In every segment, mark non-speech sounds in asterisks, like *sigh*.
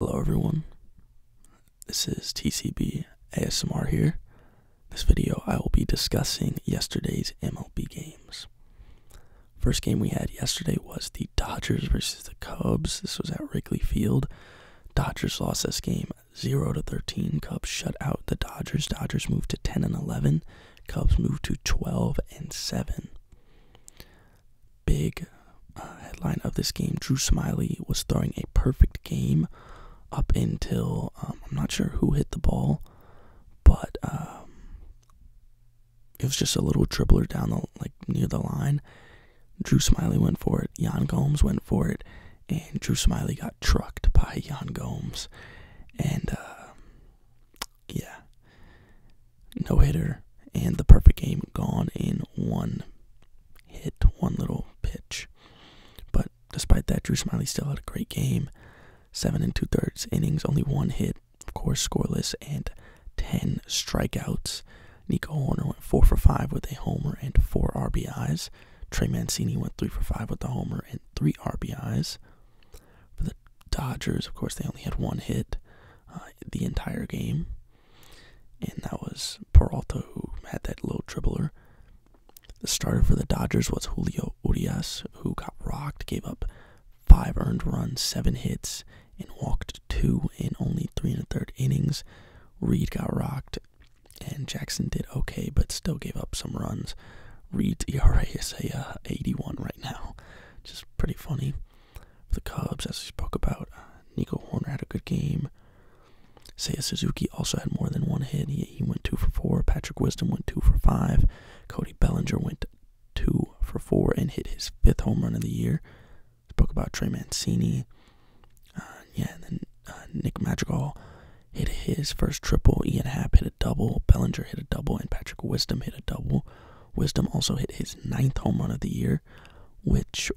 Hello everyone, this is TCB ASMR here. This video I will be discussing yesterday's MLB games. First game we had yesterday was the Dodgers versus the Cubs. This was at Wrigley Field. Dodgers lost this game 0 to 13. Cubs shut out the Dodgers. Dodgers moved to 10 and 11. Cubs moved to 12 and 7 big uh, headline of this game, Drew Smiley was throwing a perfect game up until um, I'm not sure who hit the ball, but um, it was just a little dribbler down the like near the line. Drew Smiley went for it. Jan Gomes went for it, and Drew Smiley got trucked by Jan Gomes, and uh, yeah, no hitter, and the perfect game gone in one hit, one little pitch. But despite that, Drew Smiley still had a great game. Seven and two thirds innings, only one hit, of course, scoreless, and 10 strikeouts. Nico Horner went 4 for 5 with a homer and 4 RBIs. Trey Mancini went 3 for 5 with a homer and 3 RBIs. For the Dodgers, of course, they only had one hit uh, the entire game and that was Peralta who had that low dribbler. The starter for the Dodgers was Julio Urias, who got rocked, gave up five earned runs, seven hits, and walked two in only three and a third innings. Reed got rocked, and Jackson did okay, but still gave up some runs. Reed ERA is a uh, 81 right now, which is pretty funny the Cubs, as we spoke about, uh, Nico Horner had a good game. Seiya Suzuki also had more than one hit. He, he went two for four. Patrick Wisdom went two for five. Cody Bellinger went two for four and hit his fifth home run of the year. Spoke about Trey Mancini. Uh, yeah, then uh, Nick Madrigal hit his first triple. Ian Happ hit a double. Bellinger hit a double, and Patrick Wisdom hit a double. Wisdom also hit his ninth home run of the year which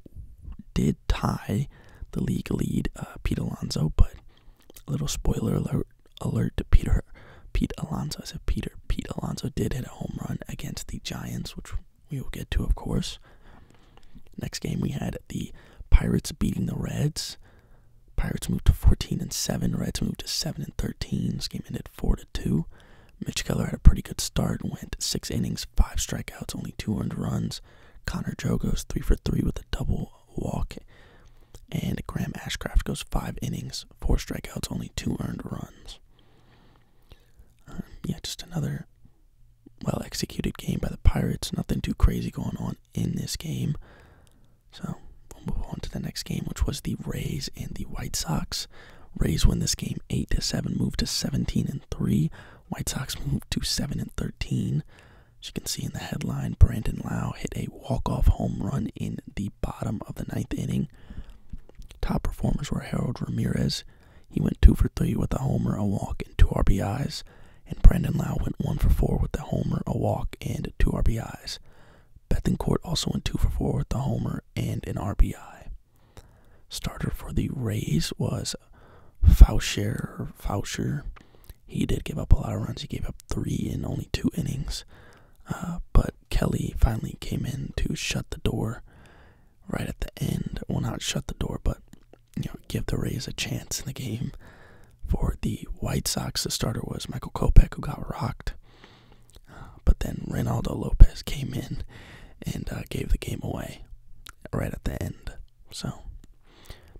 did tie the league lead, uh, Pete Alonso. But a little spoiler alert, alert to Peter, Pete Alonso. I said Peter. Pete Alonso did hit a home run against the Giants, which we will get to, of course. Next game we had the Pirates beating the Reds. Pirates moved to 14 and 7. Reds moved to 7 and 13. This game ended 4 two. Mitch Keller had a pretty good start, went six innings, five strikeouts, only two earned runs. Connor Joe goes three for three with a double walk. And Graham Ashcraft goes five innings, four strikeouts, only two earned runs. Um, yeah, just another well executed game by the Pirates. Nothing too crazy going on in this game. So we'll move on to the next game, which was the Rays and the White Sox. Rays win this game 8 to 7, move to 17 and 3. White Sox move to 7 and 13. As you can see in the headline, Brandon Lau hit a walk-off home run in the bottom of the ninth inning. Top performers were Harold Ramirez. He went 2 for 3 with a homer, a walk, and 2 RBIs. And Brandon Lau went 1 for 4 with a homer, a walk, and 2 RBIs. Bethencourt also went 2 for 4 with a homer and an RBI. Starter for the Rays was Faucher. Faucher. He did give up a lot of runs. He gave up three in only two innings. Uh, but Kelly finally came in to shut the door right at the end. Well, not shut the door, but you know, give the Rays a chance in the game. For the White Sox, the starter was Michael Kopech, who got rocked but then Reynaldo Lopez came in and uh, gave the game away right at the end. So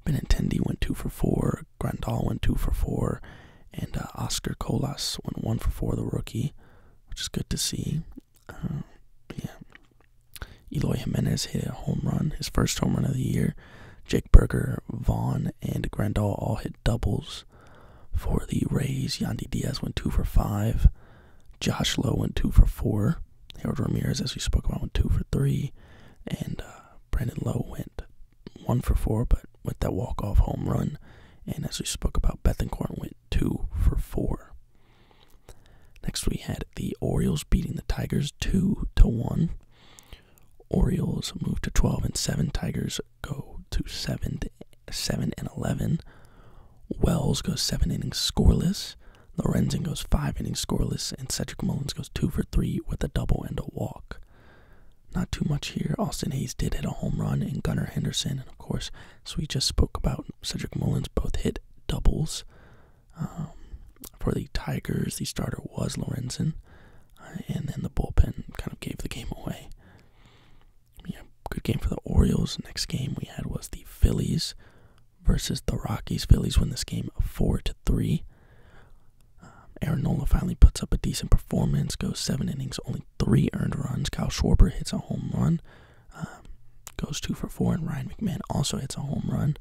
Benintendi went two for four, Grandal went two for four, and uh, Oscar Colas went one for four, the rookie, which is good to see. Uh, yeah, Eloy Jimenez hit a home run, his first home run of the year. Jake Berger, Vaughn, and Grandal all hit doubles. For the Rays, Yandy Diaz went two for five. Josh Lowe went two for four. Harold Ramirez, as we spoke about, went two for three. And uh, Brandon Lowe went one for four, but with that walk-off home run. And as we spoke about, Bethencourt went two for four. Next, we had the Orioles beating the Tigers two to one. Orioles moved to 12 and 7, Tigers go to seven, seven and eleven. Wells goes seven innings scoreless. Lorenzen goes five innings scoreless, and Cedric Mullins goes two for three with a double and a walk. Not too much here. Austin Hayes did hit a home run, and Gunnar Henderson, and of course, so we just spoke about, Cedric Mullins both hit doubles. Um, for the Tigers, the starter was Lorenzen, uh, and then the bullpen kind of gave the game away yeah, good game for the Orioles. Next game we had was the Phillies versus the Rockies. Phillies win this game four to three. Um, Aaron Nola finally puts up a decent performance, goes seven innings, only three earned runs. Kyle Schwarber hits a home run, um, goes two for four, and Ryan McMahon also hits a home run,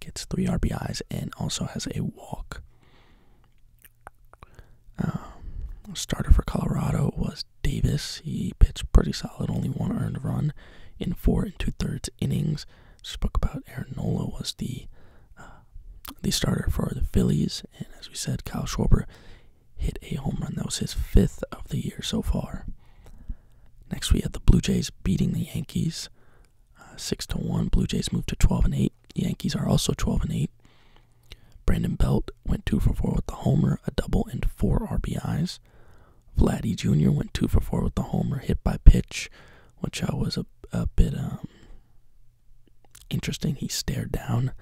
gets three RBIs, and also has a walk. Um, starter for Colorado was Davis. He pitched pretty solid, only one earned run in four and two thirds innings. Spoke about Aaron Nola was the uh, the starter for the Phillies, and as we said, Kyle Schwarber hit a home run. That was his fifth of the year so far. Next, we had the Blue Jays beating the Yankees, uh, six to one. Blue Jays moved to twelve and eight. Yankees are also twelve and eight. Brandon Belt went 2 for 4 with the homer, a double, and 4 RBIs. Vladdy Jr. went 2 for 4 with the homer, hit by pitch, which I was a, a bit um, interesting. He stared down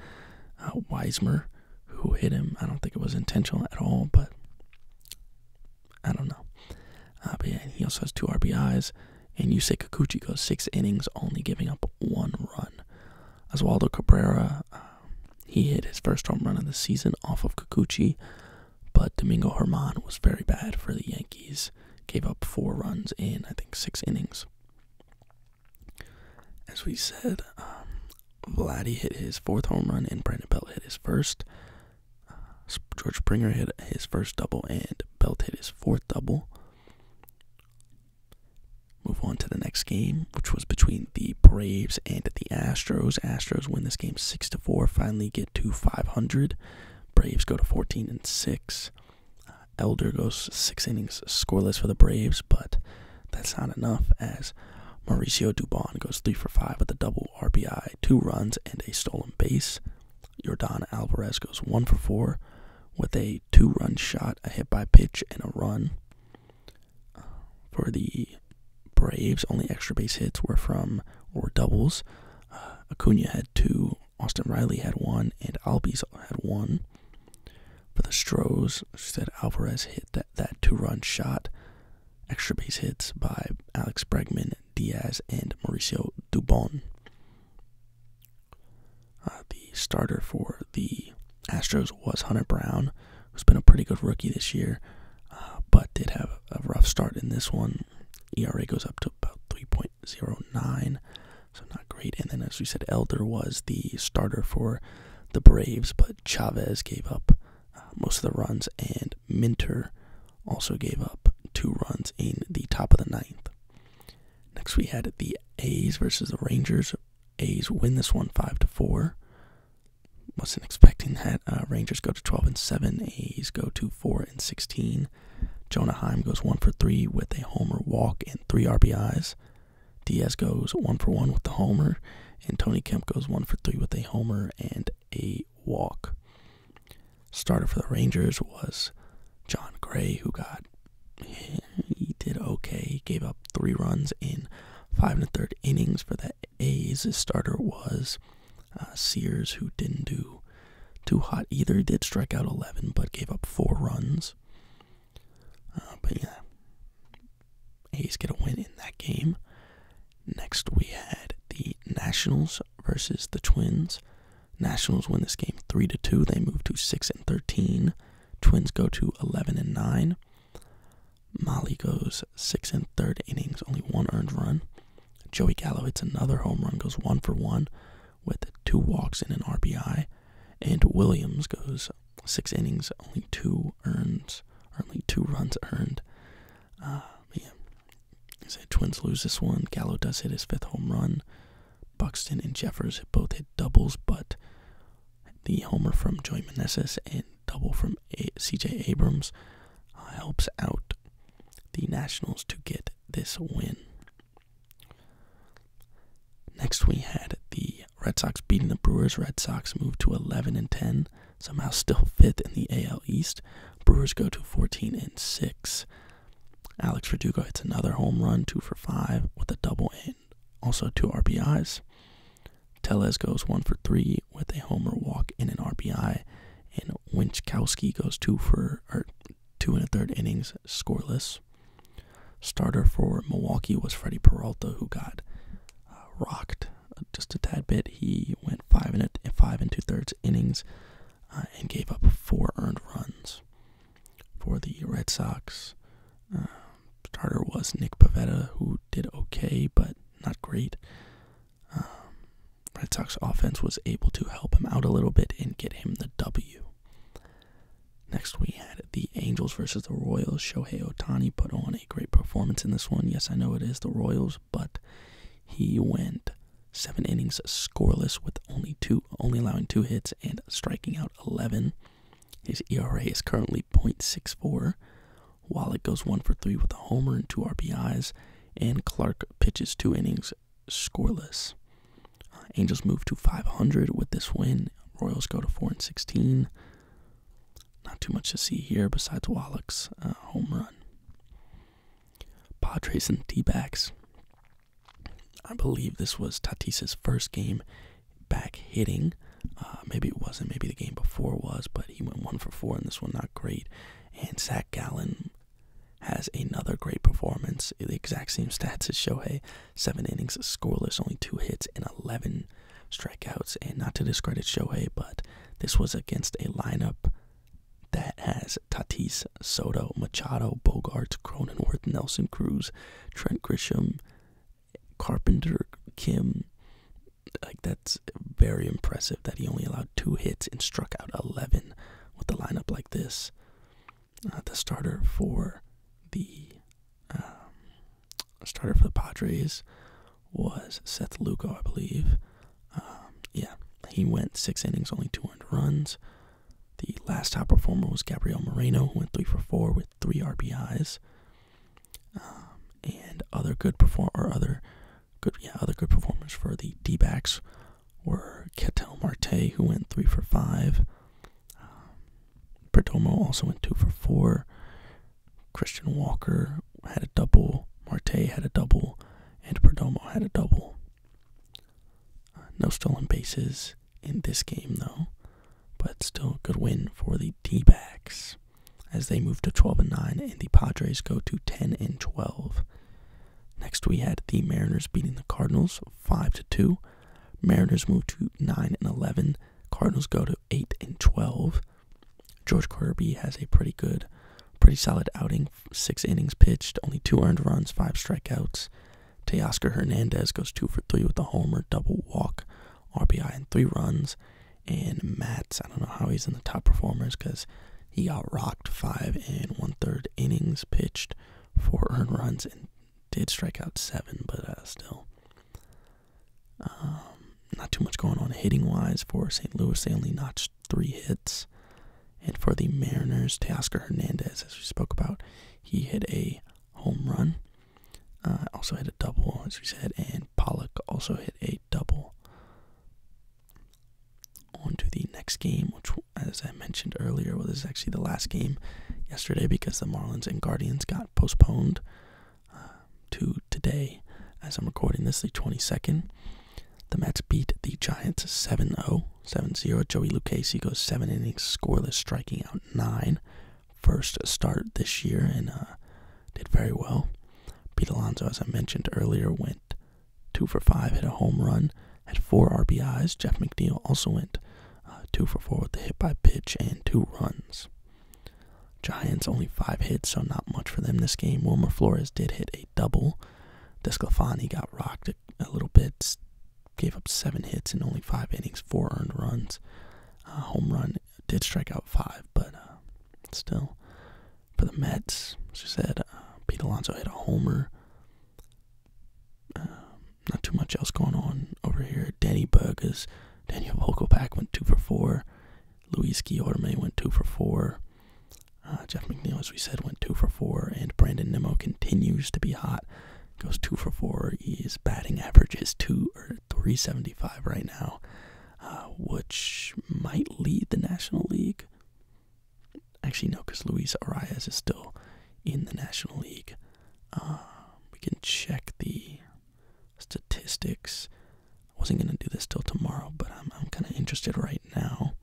uh, Weismer, who hit him. I don't think it was intentional at all, but I don't know. Uh, he also has two RBIs. And Yusei Kikuchi goes six innings, only giving up one run. Oswaldo Cabrera, um, he hit his first home run of the season off of Kikuchi, but Domingo Herman was very bad for the Yankees. Gave up four runs in, I think, six innings. As we said, um, hit his fourth home run and Brandon Belt hit his first. George Springer hit his first double and Belt hit his fourth double. Move on to the next game, which was between the Braves and the Astros. Astros win this game six to four. Finally, get to 500. Braves go to 14 and six. Uh, Elder goes six innings scoreless for the Braves, but that's not enough as Mauricio Dubon goes three for five with a double RBI, two runs, and a stolen base. Jordan Alvarez goes one for four with a two run shot, a hit by pitch, and a run. Uh, for the Braves, only extra base hits were from or doubles. Uh, Acuna had two, Austin Riley had one, and Albies had one. For the Stros, said Alvarez hit that, that two run shot. Extra base hits by Alex Bregman, Diaz, and Mauricio Dubon. Uh, the starter for the Astros was Hunter Brown, who's been a pretty good rookie this year, uh, but did have a rough start in this one. ERA goes up to about 3.09, so not great. And then, as we said, Elder was the starter for the Braves, but Chavez gave up uh, most of the runs, and Minter also gave up two runs in the top of the ninth. Next, we had the A's versus the Rangers. A's win this one five to four. Wasn't expecting that. Uh, Rangers go to twelve and seven. A's go to four and sixteen. Jonah Heim goes one for three with a homer walk and three RBIs. Diaz goes one for one with the homer, and Tony Kemp goes one for three with a homer and a walk. Starter for the Rangers was John Gray, who got he did okay. He gave up three runs in five and a third innings for the A's. His starter was uh, Sears, who didn't do too hot either. He did strike out 11, but gave up four runs. Uh, but yeah, A's get a win in that game. Next, we had the Nationals versus the Twins. Nationals win this game 3 to 2. They move to 6 and 13. Twins go to 11 and 9. Molly goes 6 and third innings, only one earned run. Joey Gallo hits another home run, goes 1 for 1 with two walks and an RBI. And Williams goes 6 innings, only 2 earned, only 2 runs earned. Uh, yeah. Twins lose this one. Gallo does hit his fifth home run. Buxton and Jeffers both hit doubles, but the homer from Joy Meneses and double from CJ Abrams uh, helps out the Nationals to get this win. Next, we had the Red Sox beating the Brewers. Red Sox move to 11 and 10, somehow still *laughs* fifth in the AL East. Brewers go to 14 and 6. Alex Verdugo hits another home run, two for five, with a double and also two RBIs. Teles goes one for three with a homer walk and an RBI, and Winchowski goes two for two and a third innings scoreless. Starter for Milwaukee was Freddie Peralta, who got uh, rocked uh, just a tad bit. He went five and a, five and two thirds innings, uh, and gave up four earned runs. For the Red Sox, uh, starter was Nick Pavetta, who did okay, but not great. Um, Red Sox offense was able to help him out a little bit and get him the W. Next, we had the Angels versus the Royals. Shohei Otani put on a great performance in this one. Yes, I know it is the Royals, but he went seven innings scoreless with only two only allowing two hits and striking out 11 his era is currently 0.64 Wallet goes one for three with a homer and two RBIs, and Clark pitches two innings scoreless. Uh, Angels move to 500 with this win. Royals go to 4 and 16. Not too much to see here besides Wallach's uh, home run. Padres and D backs. I believe this was Tatis's first game back hitting. Uh, maybe it wasn't. Maybe the game before was, but he went one for four in this one. Not great. And Zach Gallen has another great performance. The exact same stats as Shohei. Seven innings, scoreless, only two hits, and 11 strikeouts. And not to discredit Shohei, but this was against a lineup that has Tatis, Soto, Machado, Bogarts, Cronenworth, Nelson Cruz, Trent Grisham, Carpenter, Kim. Like that's very impressive that he only allowed two hits and struck out 11 with a lineup like this. Uh, the starter for um, the starter for the Padres was Seth Lugo, I believe. Um, yeah, he went six innings, only two runs. The last top performer was Gabriel Moreno, who went three for four with three RBIs. Um, and other good perform or other good yeah other good performers for the Dbacks were Ketel Marte, who went three for five. Um, Perdomo also went two for four. Christian Walker had a double. Marte had a double, and Perdomo had a double. Uh, no stolen bases in this game, though, but still a good win for the D backs as they move to 12 and 9 and the Padres go to 10 and 12. Next, we had the Mariners beating the Cardinals 5 to 2. Mariners move to 9 and 11. Cardinals go to 8 and 12. George Kirby has a pretty good, pretty solid outing six innings pitched, only two earned runs, five strikeouts. Teoscar Hernandez goes two for three with a homer, double walk, RBI, and three runs. And Mats, I don't know how he's in the top performers because he got rocked five and one third innings pitched, four earned runs, and did strike out seven, but uh, still. Um, not too much going on hitting wise for St. Louis. They only notched three hits. And for the Mariners, Teoscar Hernandez, as we spoke about, he hit a home run. Uh, also hit a double, as we said, and Pollock also hit a double. On to the next game, which, as I mentioned earlier, well, this is actually the last game yesterday because the Marlins and Guardians got postponed uh, to today. As I'm recording this, the 22nd. The Mets beat the Giants 7-0, 7-0. Joey Lucchese goes seven innings scoreless, striking out nine. First start this year and uh, did very well. Pete Alonso, as I mentioned earlier, went two for five, hit a home run, had four RBIs. Jeff McNeil also went uh, two for four with a hit by pitch and two runs. Giants only five hits, so not much for them this game. Wilmer Flores did hit a double. Desclafani got rocked a little bit. Gave up seven hits in only five innings, four earned runs. home run did strike out five, but uh, still. For the Mets, She said, uh, Pete Alonso hit a homer. Um, not too much else going on over here. Danny is Daniel Vogelback went two for four. Luis Guillorme went two for four. Uh, Jeff McNeil, as we said, went two for four, and Brandon Nimmo continues to be hot. Goes two for four. His batting average is two or three seventy five right now, uh, which might lead the National League. Actually, no, because Luis Arias is still in the National League. Uh, we can check the statistics. I wasn't gonna do this till tomorrow, but I'm kind of interested right now.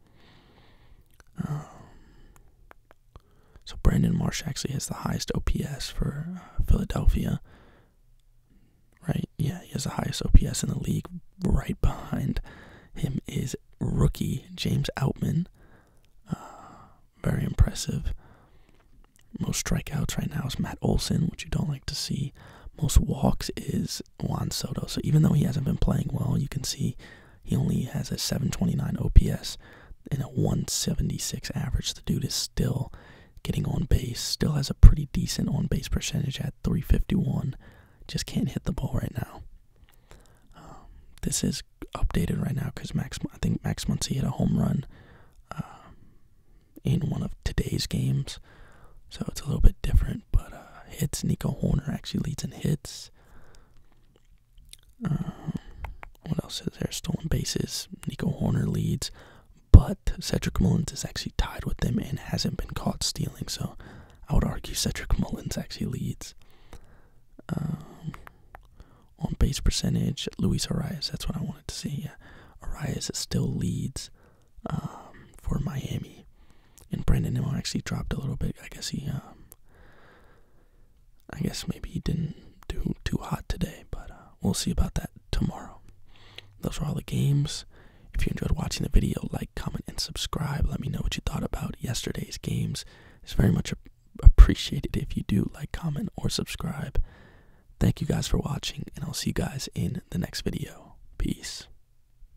Um, so Brandon Marsh actually has the highest OPS for uh, Philadelphia. Right? Yeah, he has the highest OPS in the league. Right behind him is rookie James Outman. Uh, very impressive. Most strikeouts right now is Matt Olson, which you don't like to see. Most walks is Juan Soto. So even though he hasn't been playing well, you can see he only has a 729 OPS and a 176 average. The dude is still getting on base, still has a pretty decent on base percentage at 351. Just can't hit the ball right now. Um, this is updated right now because Max, I think Max Muncy hit a home run um, in one of today's games, so it's a little bit different but uh, hits. Nico Horner actually leads in hits. Um, what else is there? Stolen bases. Nico Horner leads, but Cedric Mullins is actually tied with him and hasn't been caught stealing. So I would argue Cedric *laughs* Mullins actually leads. Um, on base percentage, Luis Arias. That's what I wanted to see. Yeah. Arias still leads um, for Miami. And Brandon Miller actually dropped a little bit. I guess he, um, I guess maybe he didn't do too hot today, but uh, we'll see about that tomorrow. Those were all the games. If you enjoyed watching the video, like, comment, and subscribe. Let me know what you thought about yesterday's games. It's very much appreciated if you do like, comment, or subscribe. Thank you guys for watching, and I'll see you guys in the next video. Peace.